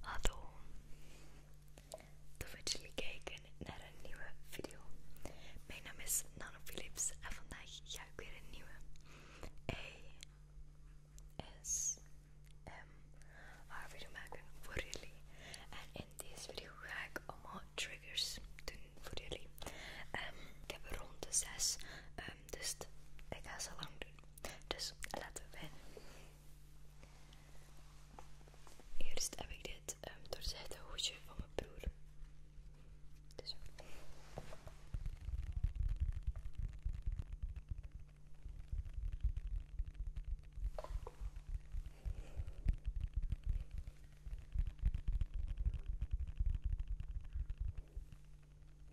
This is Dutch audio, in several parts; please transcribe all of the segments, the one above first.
Hallo, tof dat jullie kijken naar een nieuwe video. Mijn naam is Nano Philips en vandaag ga ik weer een nieuwe ehm, ASMR video maken voor jullie. En in deze video ga ik allemaal triggers doen voor jullie. Ehm, ik heb er rond de 6, ehm, dus ik ga ze lang doen. Dus laten we beginnen. Eerst heb ik dit um, doorzette hoedje van mijn broer. Dus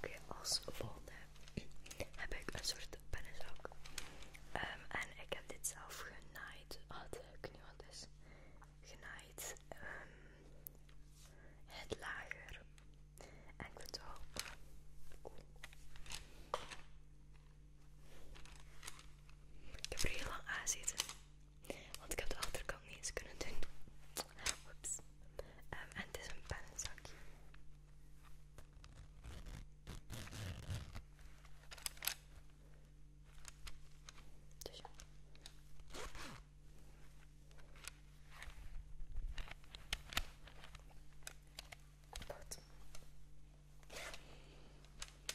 Oké, als volgende heb ik een soort pennenzak. Ehm, en ik heb dit zelf genaaid. Ah, oh, ik wat Genaaid. Ehm, het lager. En ik vind het wel cool. Ik heb er heel lang aan zitten, want ik heb de achterkant niet eens kunnen doen. Oeps. Ehm, en het is een pennenzakje. Dus.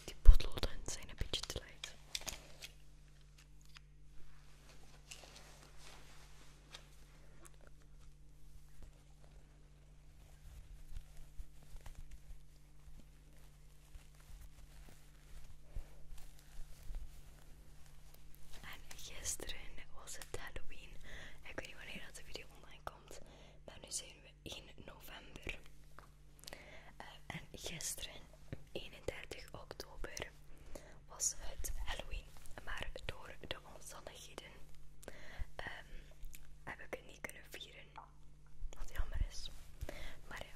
De Die zijn een beetje te licht. En gisteren was het Halloween. Ik weet niet wanneer dat de video online komt. Maar nu zijn we 1 november. Eh, en gisteren, 31 oktober, was het Halloween. Maar door de omstandigheden ehm, heb ik het niet kunnen vieren. Wat jammer is. Maar ja.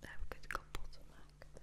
Daar heb ik het kapot gemaakt.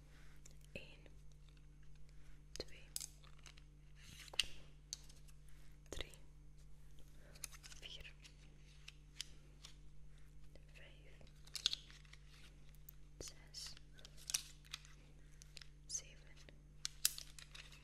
1, 2, 3, 4, 5, 6, 7, 8, 9,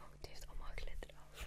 Oh, dit heeft allemaal glitter af.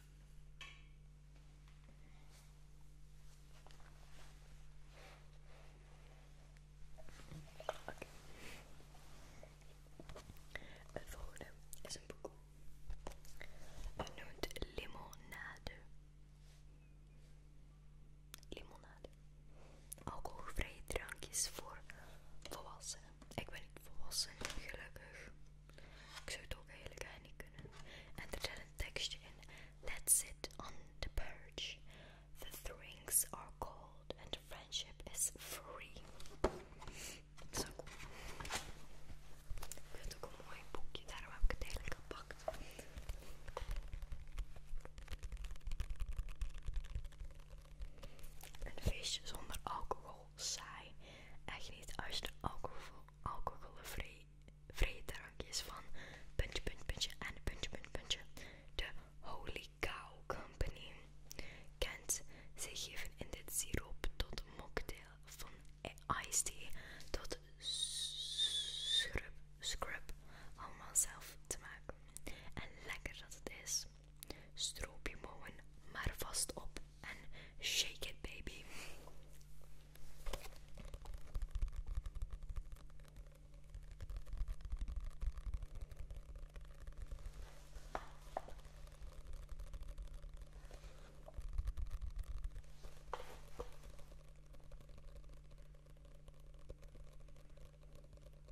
Het volgende is een boek. Het noemt limonade. Limonade. Alcoholvrije drankjes voor volwassenen. Ik ben niet volwassen, gelukkig. Ik zou het ook eigenlijk niet kunnen. En er zit een tekstje in. Let's it on the perch. The drinks are cold and friendship is free. Zo cool. Ik vind het ook een mooi boekje, daarom heb ik het eigenlijk gepakt. Een feestje zonder alcohol saai. En geniet als de alcohol, drankjes van puntje, puntje, en puntje, puntje, De Holy Cow Company kent. ze geven in dit siroop tot mocktail van e- iced tea tot scrub, scrub, allemaal zelf te maken. En lekker dat het is. Stroop je maar vast op en shake it baby.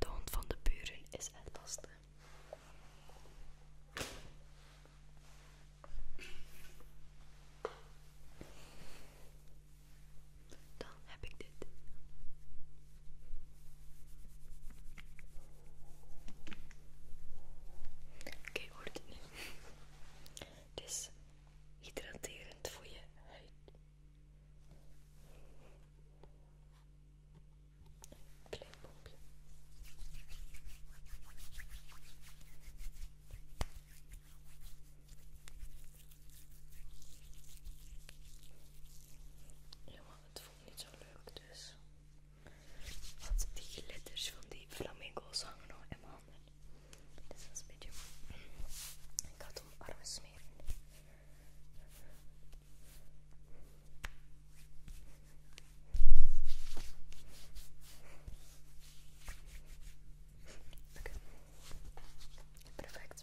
De hond van de buren is het lastig. Dan heb ik dit. Oké, okay, hoort het nu? hydraterend voor je huid. Een klein ja, het voelt niet zo leuk dus. Want die letters van die flamingo's hangen nog in mijn handen. is een beetje... Ik ga het om smeren. Oké, perfect.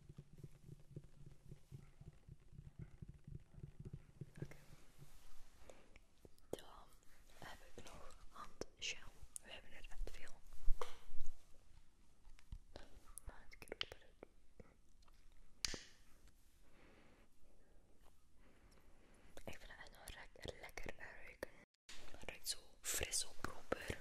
Oké. Dan heb ik nog handgel. We hebben er echt veel. Maar het keer op Ik vind het echt nog lekker ruiken. Het zo fris op proper.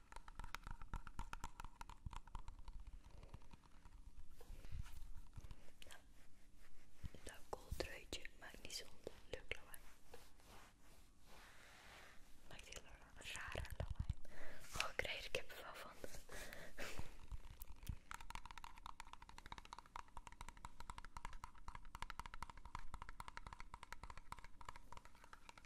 Nou, dat kooltruitje maakt niet zo'n leuk Maakt heel rare lawaai. Oh, ik heb er van.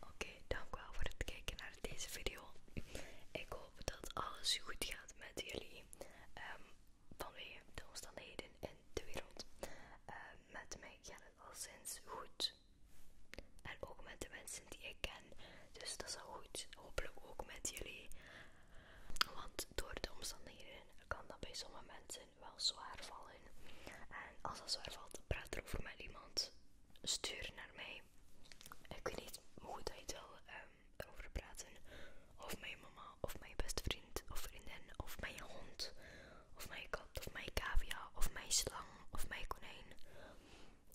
Oké, dank wel voor het kijken naar deze video. Ik hoop dat alles goed gaat met jullie ehm, vanwege de omstandigheden in de wereld. Ehm, met mij gaat het al sinds goed. En ook met de mensen die ik ken. Dus dat is al goed. Hopelijk ook met jullie. Want door de omstandigheden kan dat bij sommige mensen wel zwaar vallen. En als dat zwaar valt, praat erover met iemand. Stuur naar mij. Ik weet niet hoe goed dat het wil over ehm, erover praten. Of mijn mama, of mijn beste vriend of vriendin, of mijn hond, of mijn kat, of mijn cavia, of mijn slang, of mijn konijn.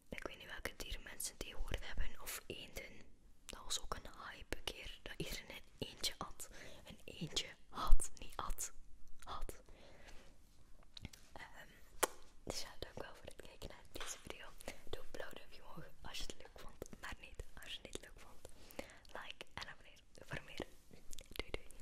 Ik weet niet welke dieren mensen die horen hebben, of eenden. Dat was ook een hype keer dat iedereen een eentje had. Een eentje had, niet at, had. Ehm, dus ja, dank wel voor het kijken naar deze video. Doe een op je omhoog als je het leuk vond, maar niet als je het niet leuk vond. Like en abonneer voor meer. Doei doei.